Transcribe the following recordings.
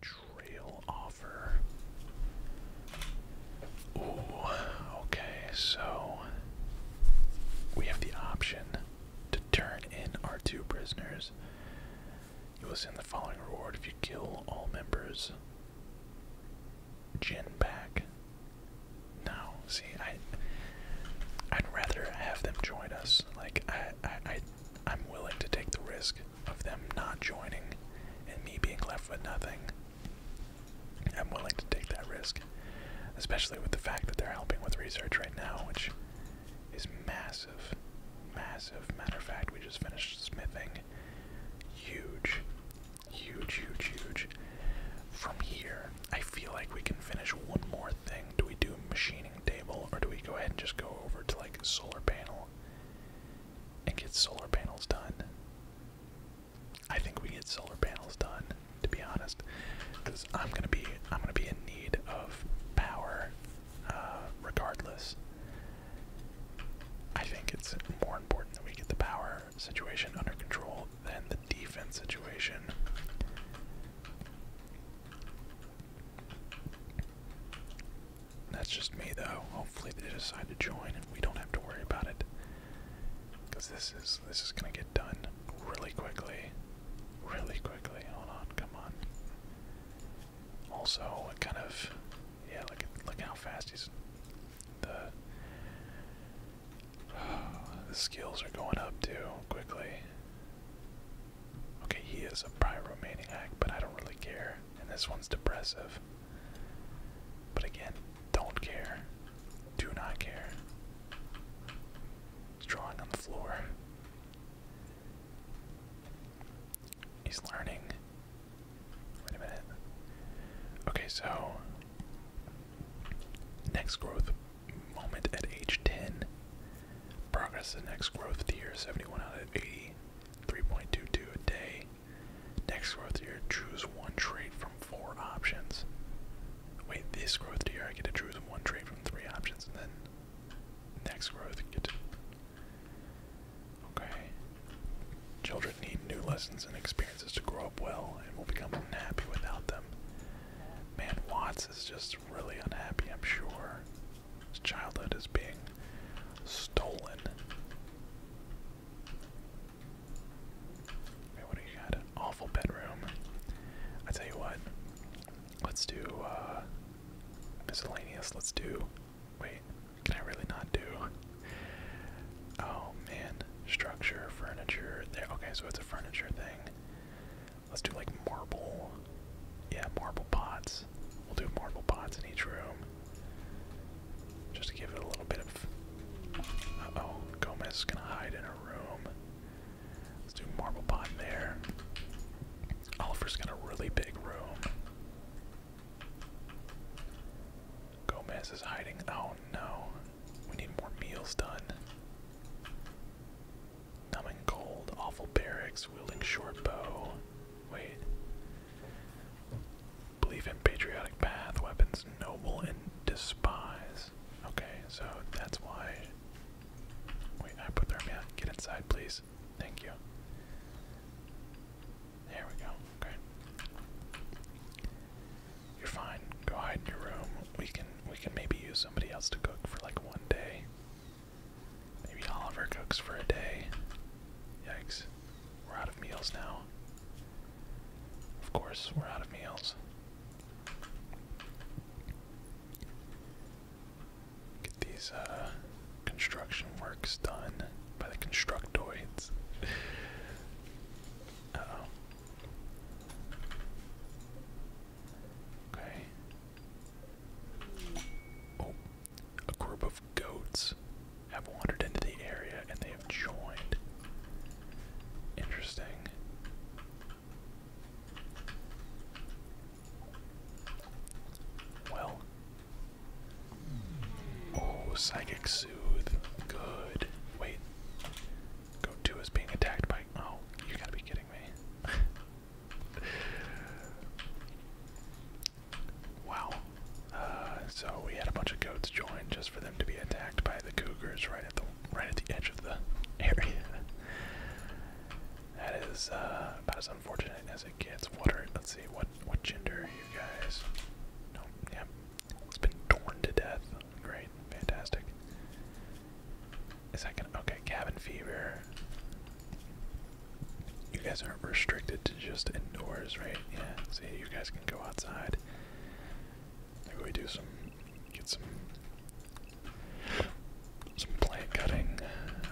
Trail offer. Ooh, okay, so we have the option to turn in our two prisoners. You will send the following reward if you kill all members. Gin back. Now, see, I'd rather have them join us like I, I, I I'm willing to take the risk of them not joining and me being left with nothing. I'm willing to take that risk, especially with the fact that they're helping with research right now, which is massive, massive. Matter of fact, we just finished smithing. Huge, huge, huge, huge. From here, I feel like we can finish one more thing. Do we do machining table or do we go ahead and just go over to like solar panel and get solar panels done? I think we get solar panels done, to be honest, because I'm gonna be I'm gonna be in need of power, uh, regardless. I think it's more important that we get the power situation under control than the defense situation. That's just me though. Hopefully they decide to join and we don't have to worry about it. Cause this is this is gonna get done really quickly. Really quickly. Hold on, come on. Also, what kind of yeah, look at look how fast he's the the skills are going up too quickly. Okay, he is a pyromaniac, but I don't really care. And this one's depressive. But again, don't care. Do not care. drawing on the floor. He's learning. Wait a minute. Okay, so next growth moment at age 10. Progress the next growth year 71 out of 80, a day. Next growth year choose one trade from four options. Wait, this growth year I get to choose one trade from three options, and then next growth, get to. Okay. Children need new lessons and experiences to grow up well and will become unhappy without them. Man, Watts is just really unhappy, I'm sure. His childhood is being stolen. what do you got? awful bedroom. I tell you what. Let's do uh, miscellaneous. Let's do wait, can I really not do? Oh man. Structure, furniture, there okay, so it's a furniture thing. Let's do like marble. Yeah, marble pots. We'll do marble pots in each room. Just to give it a little bit of. oh, Gomez is gonna hide in a room. Let's do marble pot there. Oliver's got a really big room. Gomez is hiding. Oh no, we need more meals done. Numbing cold, awful barracks, wielding short bow. Wait. Believe in patriotic path, weapons noble and despise. Okay, so that's why. Wait, hypothermia. Get inside, please. Thank you. There we go. Okay. You're fine. Go hide in your room. We can we can maybe use somebody else to cook for like one day. Maybe Oliver cooks for a day. Yikes. We're out of meals now. Of course, we're out of meals. Get these uh, construction works done by the constructoids. oh. Okay. Oh, a group of goats have wandered into the area and they have joined. Interesting. Well. Oh, psychic soothe. Good. Wait. Go two is being attacked by. Oh, you gotta be kidding me. wow. Uh, so we had a bunch of goats joined just for them to be attacked by the cougars right at the right at the edge of the area. that is uh, about as unfortunate as it gets. What let's see what what gender you guys? No, yeah, it's been torn to death. Great, fantastic. Is that okay, cabin fever. You guys aren't restricted to just indoors, right? Yeah, see you guys can go outside. Maybe we do some get some some plant cutting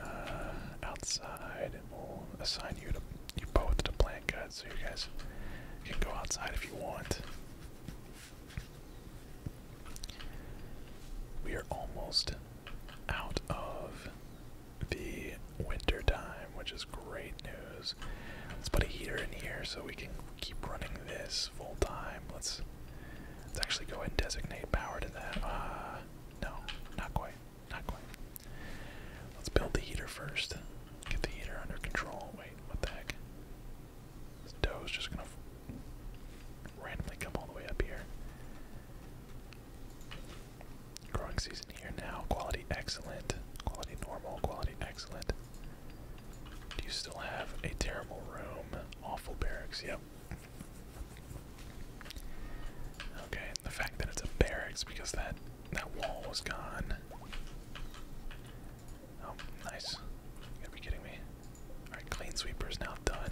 uh, outside and we'll assign you to you both to plant cut so you guys can go outside if you want. We are almost out of the winter time, which is great news. Let's put a heater in here so we can keep running this full time. Let's let's actually go ahead and designate power to that. Uh no, not quite. Not quite. Let's build the heater first. Get the heater under control. Wait, what the heck? This doe is just gonna randomly come all the way up here. Growing season here now. Quality excellent. Quality normal. Quality excellent. Do you still have a terrible room? Awful barracks. Yep. Okay, the fact that it's a barracks because that that wall was gone. Oh, nice. You gotta be kidding me. Alright, clean sweeper is now done.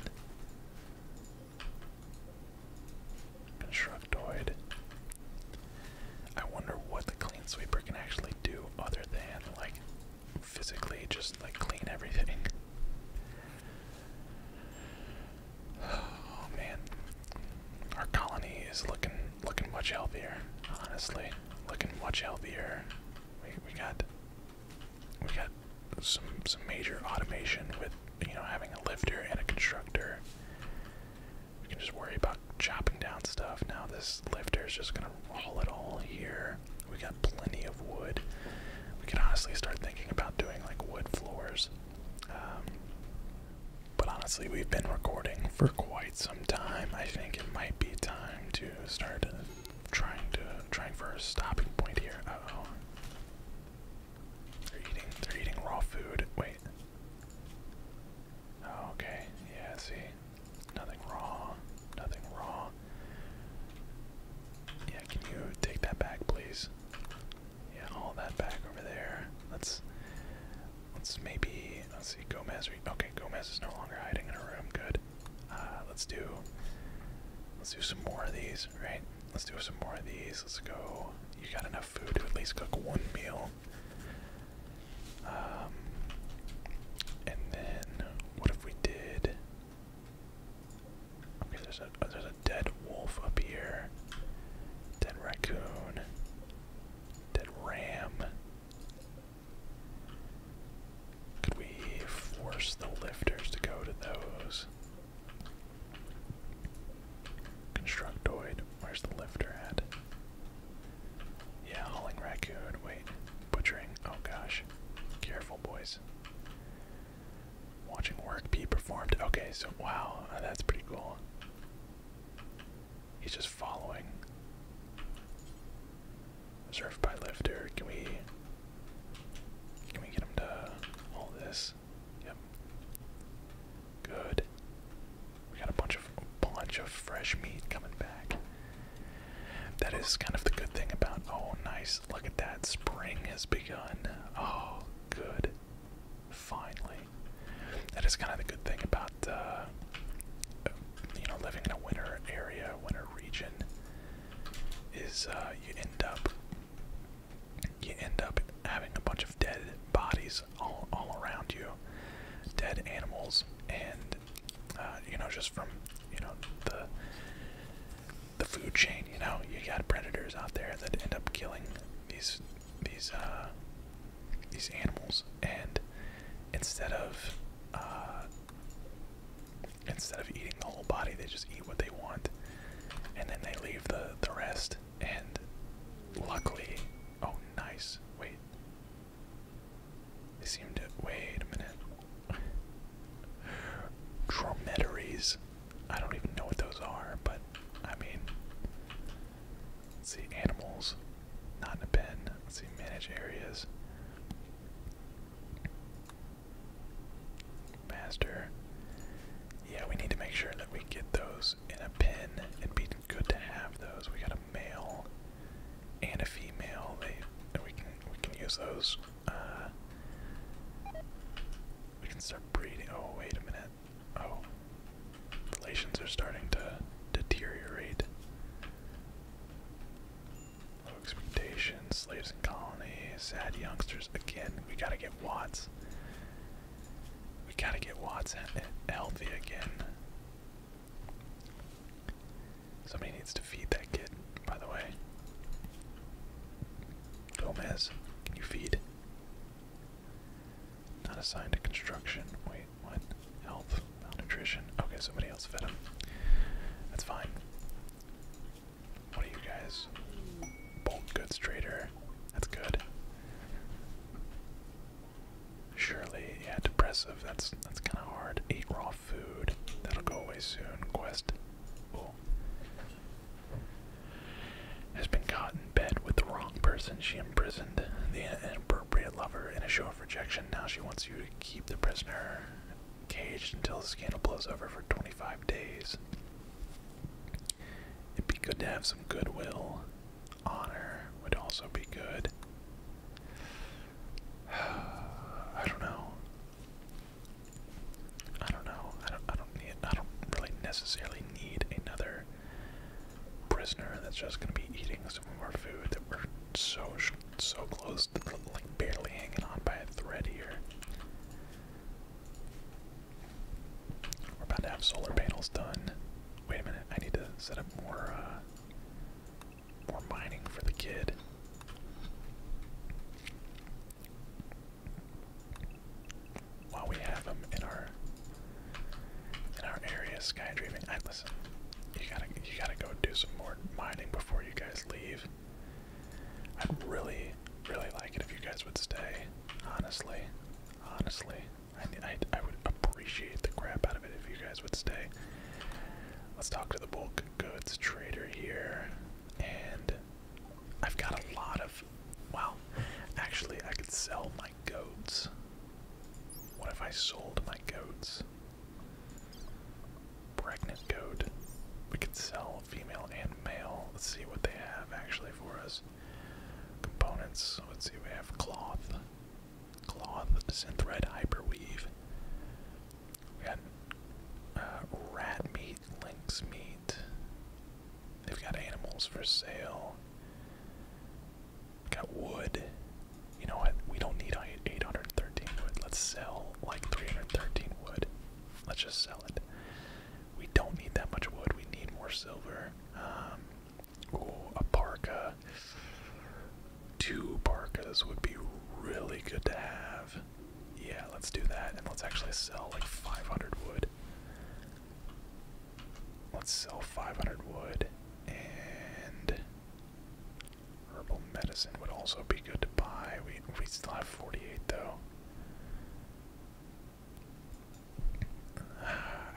Constructoid. I wonder what the clean sweeper can actually do other than, like, physically just, like, clean everything. Oh man, our colony is looking looking much healthier. Honestly, looking much healthier we, we got we got some some major automation with you know having a lifter and a constructor. We can just worry about chopping down stuff. Now this lifter is just gonna roll it all here. We got plenty of wood. We could honestly start thinking about doing like wood floors. Um, but honestly, we've been recording for quite some time. I think it might be time time to start trying to trying for a stopping point here. oh. They're eating they're eating raw food. Wait. okay. Yeah, see. Nothing raw. Nothing raw. Yeah, can you take that back please? Yeah, Hold that back over there. Let's Let's maybe let's see Gomez. Okay, Gomez is no longer hiding in a room. Good. Uh, let's do let's do some more of these. Right. Let's do some more of these. Let's go. You got enough food to at least cook one meal. Um, and then what if we did? Okay, there's a there's a dead wolf up here. Dead raccoon. Dead ram. Could we force the lifters to go to those? Constructoid, where's the lifter at? Yeah, hauling raccoon, wait, butchering, oh gosh. Careful, boys. Watching work be performed. Okay, so wow, that's pretty cool. He's just following. Surf by lifter. Can we can we get him to hold this? Yep. Good. We got a bunch of a bunch of fresh meat coming back. That is kind of the good thing about oh nice. Look at that. Spring has begun. Oh good. Finally. That is kind of the good thing about uh you know, living in a winter area, winter region, is uh, you end up you end up having a bunch of dead bodies all all around you, dead animals, and uh, you know, just from you know the the food chain. You know, you got predators out there that end up killing these these uh, these animals, and instead of uh, instead of eating the whole body, they just eat what they want, and then they leave the the rest. And luckily, oh nice. Wait, they seem to wait a minute. Dromedaries. I don't even know what those are, but I mean, Let's see, animals, not in a pen. Let's see, managed areas. Master. Yeah, we need to make sure that we get those in a pen. It'd be good to have those. We got a male and a female. They we can we can use those. Uh, we can start breeding. Oh wait a minute. Oh, relations are starting to deteriorate. Low expectations, slaves and colonies, sad youngsters. Again, we gotta get Watts. We gotta get Watts healthy again. Somebody needs to feed that kid, by the way. Gomez, can you feed? Not assigned to construction. Wait what? Health, malnutrition. Okay, somebody else fed him. That's fine. What are you guys? Bulk goods trader. That's good. Surely, yeah, depressive. That's that's kind of hard. Eat raw food. That'll go away soon. Quest. Oh. Has been caught in bed with the wrong person. She imprisoned the. Uh, inappropriate lover in a show of rejection. Now she wants you to keep the prisoner caged until the scandal blows over for 25 days. It'd be good to have some goodwill. Honor would also be good. I don't know. I don't know. I don't. I don't need. I don't really necessarily need another prisoner that's just gonna be eating some of our food that we're so so close to like barely hanging on by a thread here. We're about to have solar panels done. Wait a minute, I need to set up more uh, more mining for the kid. While we have him in our in our area skydreaming. I listen. You gotta you gotta go do some more mining before you guys leave. I'd really really like it if you guys would stay. Honestly, honestly, I I, I would appreciate the crap out of it if you guys would stay. Let's talk to the bulk goods trader here, and I've got a lot of. Wow, actually, I could sell my goats. What if I sold my goats? Pregnant goat. We could sell female and male. Let's see what they have actually for us. Components. Let's see, we have cloth. Cloth, synthread, hyperweave. We got uh, rat meat, lynx meat. They've got animals for sale. Got wood. You know what? We don't need 813 wood. Let's sell like 313 wood. Let's just sell it. We don't need that much wood. We need more silver. Um, a parka. Two parkas would be really good to have. Yeah, let's do that. And let's actually sell like 500 wood. Let's sell 500 wood, and herbal medicine would also be good to buy. We we still have 48 though.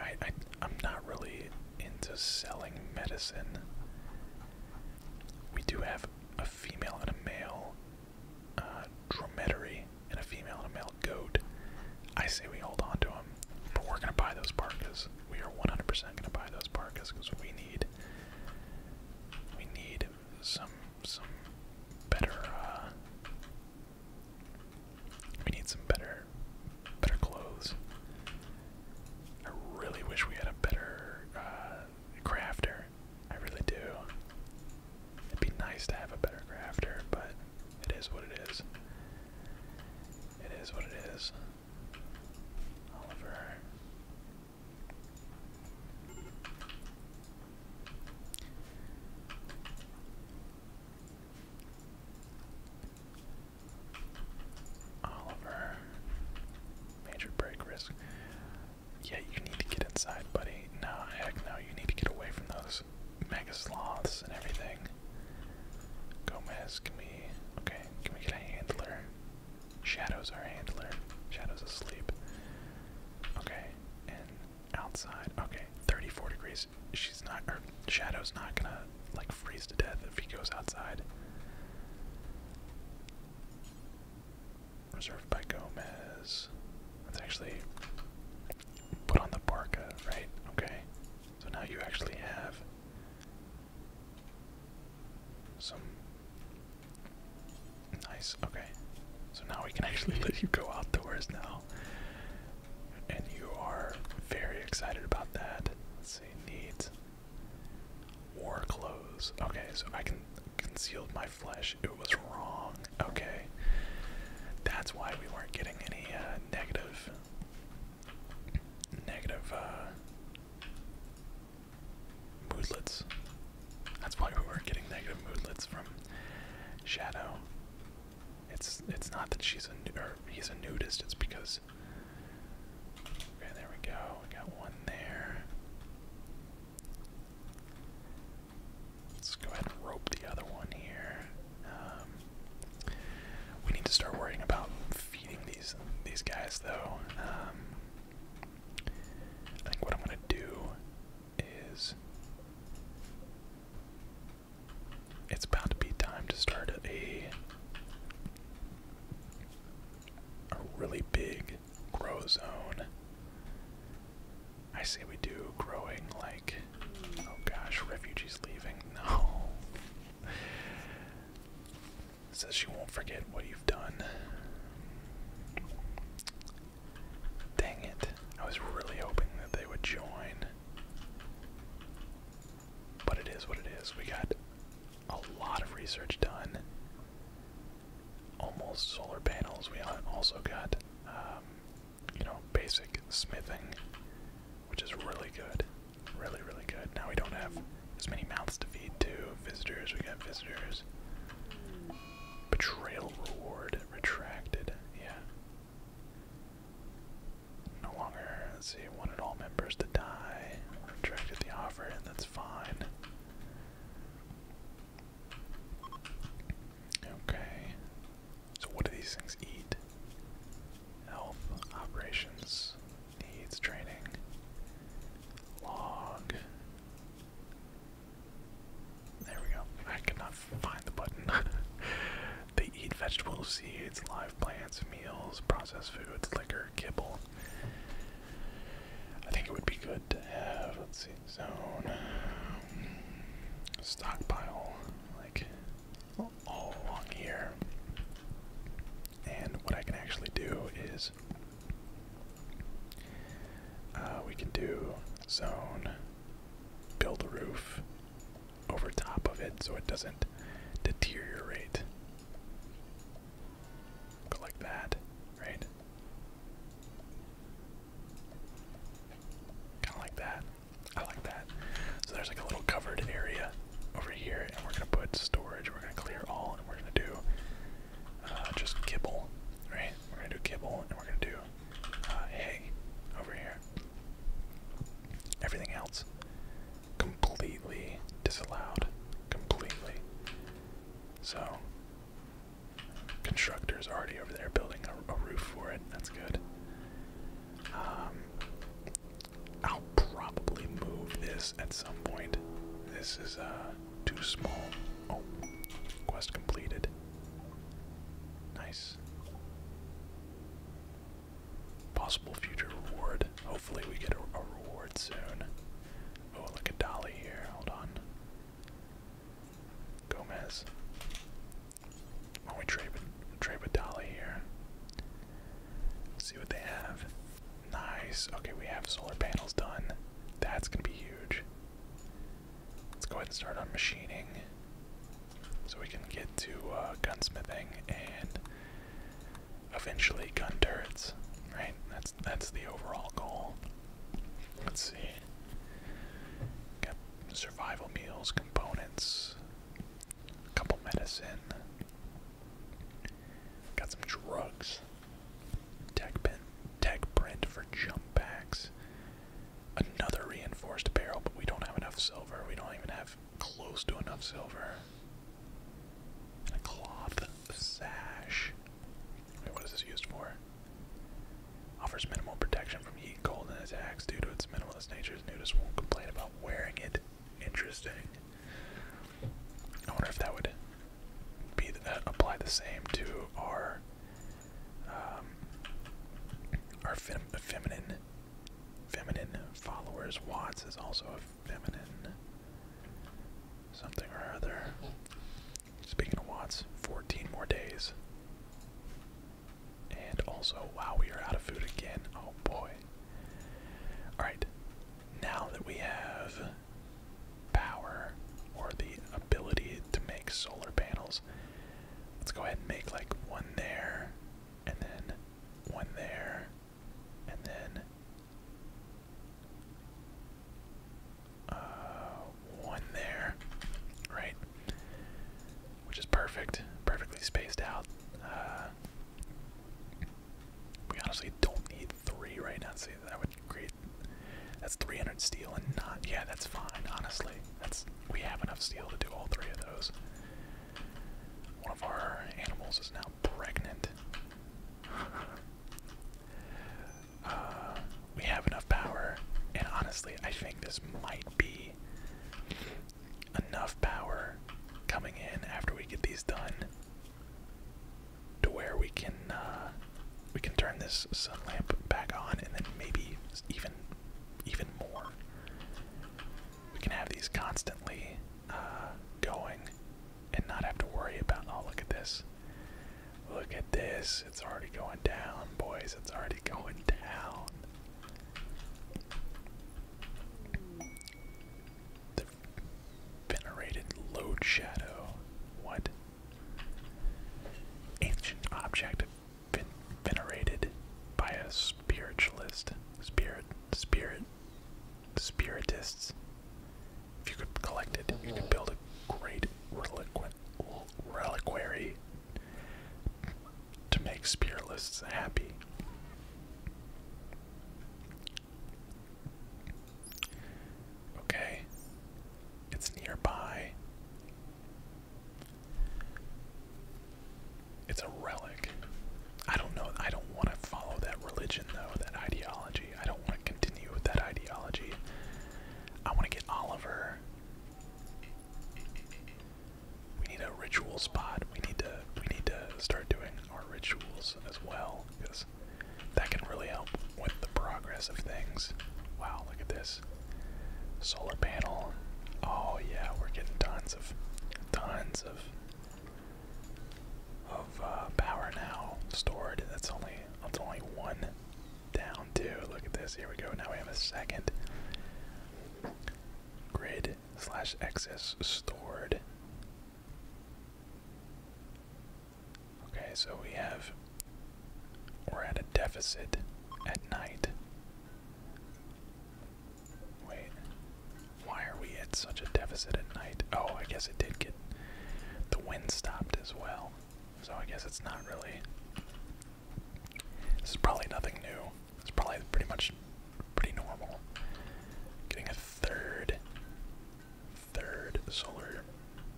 I, I I'm not really into selling medicine. We do have a female and a male uh, dromedary, and a female and a male goat. I say we hold on to him, but we're gonna buy those parkas. We are 100% gonna buy those parkas because we need we need some some better. Uh, we need some better better clothes. I really wish we had a better uh, crafter. I really do. It'd be nice to have a better crafter, but it is what it is. It is what it is. Oliver. Oliver. Major break risk. Yeah, you need to get inside, buddy. Nah, heck no, you need to get away from those mega sloths and everything. Gomez, can we okay, can we get a handler? Shadow's our handler. Shadow's asleep. Okay, and outside, okay, 34 degrees. She's not or Shadow's not gonna like freeze to death if he goes outside. Reserved by Gomez. That's actually put on the parka, right? Okay. So now you actually have some nice. Okay. So now we can actually let you go outdoors now. And you are very excited about that. Let's see, needs war clothes. Okay, so I can conceal my flesh. It was wrong. Okay. That's why we weren't getting any uh, negative uh, moodlets. That's why we weren't getting negative moodlets from Shadow. It's it's not that she's a or he's a nudist. It's because. Okay, there we go. We got one there. Let's go ahead and rope the other one here. Um, we need to start worrying about feeding these these guys, though. Um, I think what I'm gonna do is it's about to be time to start a a really big grow zone. I say we do growing like oh gosh, refugees leaving. No. Says she won't forget what you've done. Dang it. I was really hoping that they would join. But it is what it is. We got a lot of research done. Almost solar panels. We also got um, you know, basic smithing, which is really good. Really, really good. Now we don't have as many mouths to feed to visitors. We got visitors. Betrayal reward retracted. Yeah. No longer, let's see, wanted all members to die. Retracted the offer, and that's fine. Okay. So what do these things eat? Health, operations, needs, training, log. There we go. I could find the button. they eat vegetable seeds, live plants, meals, processed foods, liquor, kibble. I think it would be good to have, let Toxic zone. Stockpile, like all along here. And what I can actually do is uh, we can do zone, build a roof over top of it so it doesn't deteriorate. Go like that, right? Kinda like that. I like that. So there's like a little covered area over here, and we're gonna put storage, we're gonna clear all, and we're gonna do uh, just kibble, right? We're gonna do kibble, and we're gonna do uh, hay over here. Everything else completely disallowed. Completely. So Constructor is already over there building a, roof for it. That's good. Um, I'll probably move this at some point. This is uh, too small. Oh, quest completed. Nice. Possible future reward. Hopefully, we get a reward soon. Oh, look at Dolly here. Hold on. Gomez. Why oh, don't we trade with trade with Dolly here? See what they have. Nice. Okay, we have solar panels done. That's gonna be huge. Let's go ahead and start on machining, so we can get to uh, gunsmithing and eventually gun turrets. Right? That's that's the overall goal. Let's see survival meals, components, a couple medicine, got some drugs, tech, pen, tech print for jump packs, another reinforced barrel, but we don't have enough silver. We don't even have close to enough silver. a cloth sash. Wait, what is this used for? Offers minimal protection from heat, cold, and attacks due to its minimalist nature. Nudists won't complain about wearing it. Interesting. I wonder if that would be uh, applied the same to our um, our feminine feminine followers. Watts is also a feminine something or other. Speaking of watts, 14 more days. And also, wow, we are out of food again. Oh boy. Alright, now that we have power or the ability to make solar panels, let's go ahead and make like one there, and then one there, and then uh, one there, right? Which is perfect, perfectly spaced out. Uh, we honestly don't need three right now. See, that would create that's 300 steel and not. Yeah, that's fine. Honestly, that's we have enough steel to do all three of those. One of our animals is now pregnant. Uh, we have enough power, and honestly, I think this might be enough power coming in after we get these done to where we can uh, we can turn this sun lamp back on, and then maybe even even more. We can have these constantly uh, going and not have to worry about. Oh, look at this! Look at this. It's already going down, boys. It's already going down. The venerated load shadow. What? Ancient object venerated by a spiritualist. Spirit, spirit, spiritists. If you could collect it, you could build a great reliquin reliquary to make spearlists happy. Okay, it's nearby. It's a relic. I don't know. I don't want to follow that religion, though, that ideology. I don't want to continue with that ideology. I want to get Oliver. We need a ritual spot. We need to we need to start doing our rituals as well because that can really help with the progress of things. Wow, look at this solar panel. Oh yeah, we're getting tons of tons of of uh, power now stored. That's only that's only one down two. Look at this. Here we go. Now we have a second grid slash excess stored. Okay, so we have we're at a deficit at night. Wait, why are we at such a deficit at night? Oh, I guess it did get the wind stopped as well. So I guess it's not really. This is probably nothing new. It's probably pretty much pretty normal. Getting a third, third solar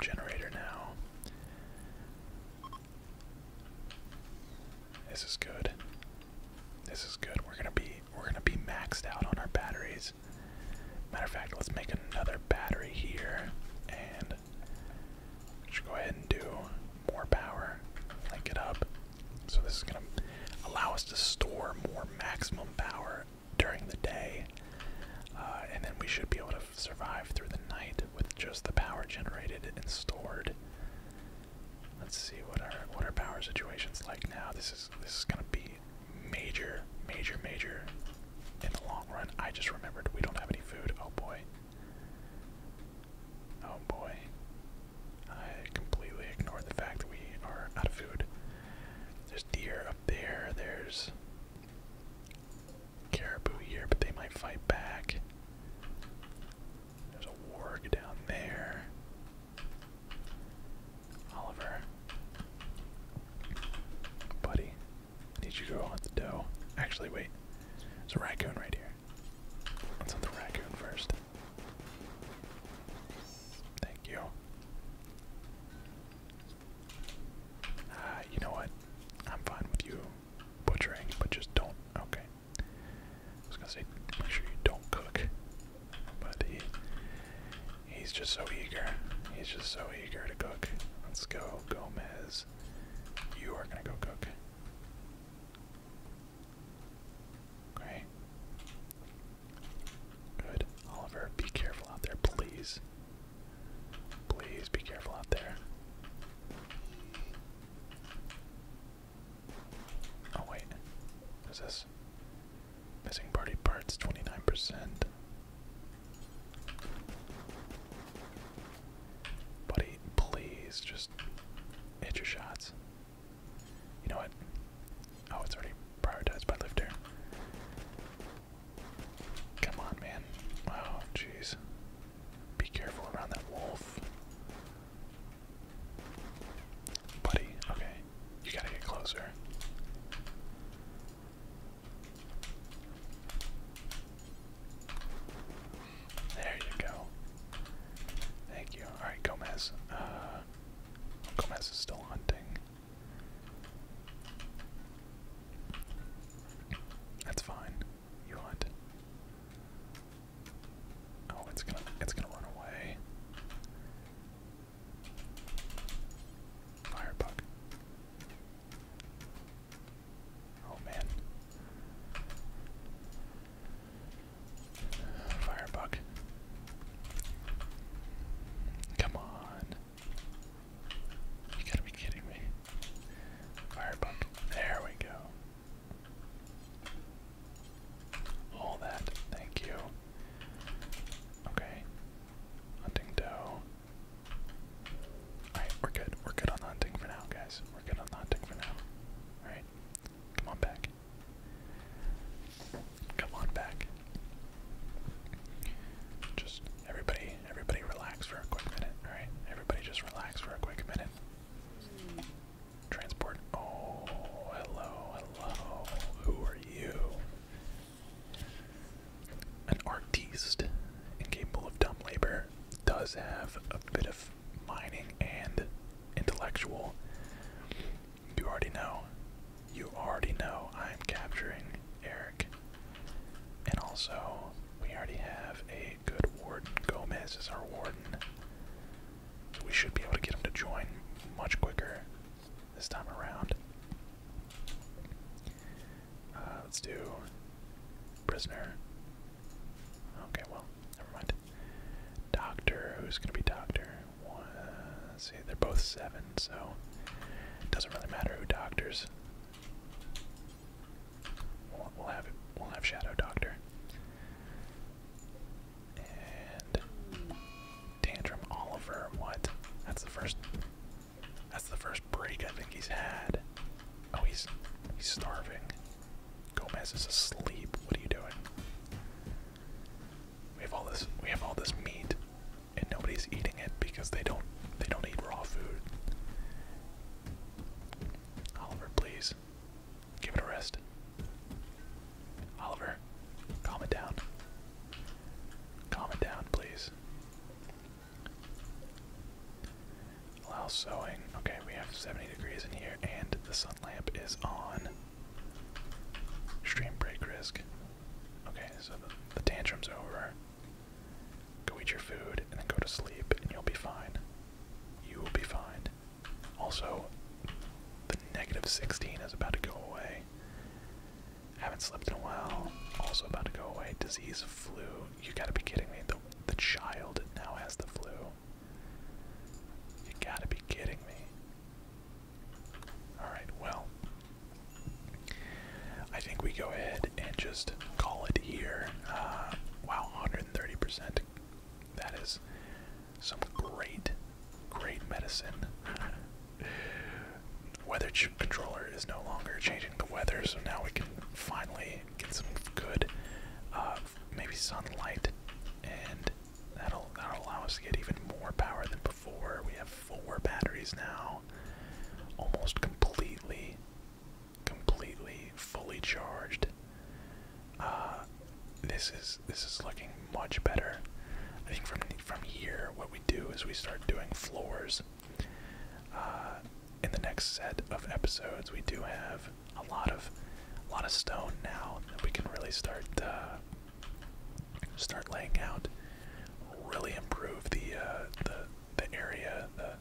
generator now. This is good. This is good. We're gonna be we're gonna be maxed out on our batteries. Matter of fact, let's make another battery here and should go ahead and do more power, link it up. So this is gonna allow us to store more maximum power during the day, uh, and then we should be able to survive through the night with just the power generated and stored. Let's see what our what our power situation's like now. This is this is gonna be major, major, major in the long run. I just remembered we don't have any food. Oh boy. Oh boy. I completely ignored the fact that we are out of food. There's deer up there. There's caribou here, but they might fight back. There's a warg down there. Oliver. Buddy, need you to go hunt the doe. Actually, wait. It's a raccoon right here. Let's hunt the raccoon first. Thank you. Uh, you know what? I'm fine with you butchering, but just don't. Okay. I was gonna say, make sure you don't cook. But He's just so eager. He's just so eager to cook. Let's go, Gomez. You are gonna go cook. Great. Good. Oliver, be careful out there, please. Please be careful out there. Oh wait. What is this? Missing party parts, 29%. Buddy, please just hit your shots. You know what? Oh, it's already prioritized by lifter. Come on, man. Oh, jeez. Be careful around that wolf. Buddy, okay. You gotta get closer. There you go. Thank you. Alright, Gomez. Uh, Gomez is still hunting. That's fine. You hunt. Oh, it's gonna it's gonna run away. Firebug. Oh man. Firebug. Come on. You gotta be kidding me. Firebug. There we go. All that. Thank you. Okay. Hunting doe. Alright, we're good. We're good on the hunting for now, guys. We're good on the hunting for now. Alright, come on back. Come on back. Just everybody, everybody relax for a quick minute. Alright, everybody just relax for a quick minute. Transport. Oh, hello, hello. Who are you? An artiste incapable of dumb labor does have a bit of mining and intellectual. You already know. You already know I'm capturing Eric. And also, we already have a good warden. Gomez is our warden. So we should be able to get him to join much quicker this time around. Uh, let's do prisoner. Okay, well, never mind. Doctor, who's gonna be doctor? see, they're both seven, so it doesn't really matter who doctors. We'll, have We'll have shadow doctor. And Tantrum Oliver, what? That's the first that's the first break I think he's had. Oh he's he's starving. Gomez is asleep. What are you doing? We have all this we have all this meat and nobody's eating it because they don't they don't eat raw food. Oliver, please. Give it a rest. Oliver, calm it down. Calm it down, please. Allow sewing. Okay, we have 70 degrees in here, and the sun lamp is on. Stream break risk. Okay, so the, the tantrum's over. Go eat your food, and then go to sleep, and you'll be fine. You will be fine. Also, the negative 16 is about to go away. Haven't slept in a while. Also about to go away. Disease, flu. You gotta be kidding me. The, the child now has the flu. You gotta be kidding me. Alright, well. I think we go ahead and just call it here. Uh, wow, 130%. That is some great great medicine. weather controller is no longer changing the weather, so now we can finally get some good, uh, maybe sunlight, and that'll that'll allow us to get even more power than before. We have four batteries now, almost completely, completely fully charged. Uh, this is this is looking much better. I think from from here, what we do is we start doing floors. Uh, in the next set of episodes, we do have a lot of a lot of stone now that we can really start uh, start laying out. Really improve uh, the the area, the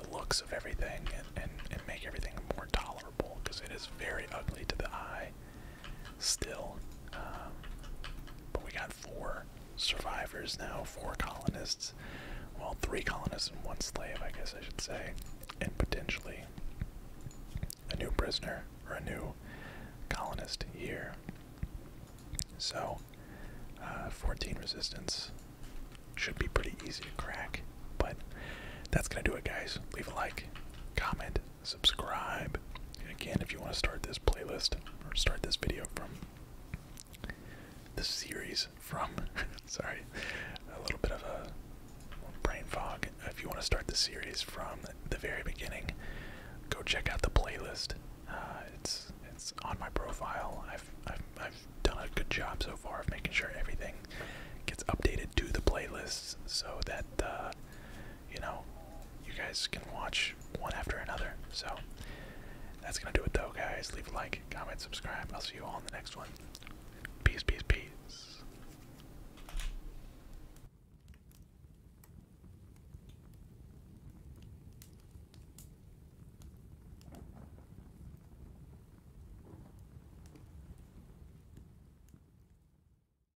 the looks of everything, and, and make everything more tolerable because it is very ugly to the eye still. Um, but we got four survivors now, four colonists. Well, three colonists and one slave, I guess I should say. And potentially a new prisoner or a new colonist here. So, uh, 14 resistance should be pretty easy to crack. But that's going to do it, guys. Leave a like, comment, subscribe. again, if you want to start this playlist or start this video from the series from, sorry, a little bit of a brain fog. If you want to start the series from the very beginning, go check out the playlist. Uh, it's it's on my profile. I've, I've I've done a good job so far of making sure everything gets updated to the playlists so that uh, you know, you guys can watch one after another. So that's gonna do it though, guys. Leave a like, comment, subscribe. I'll see you all in the next one. Peace, peace, peace.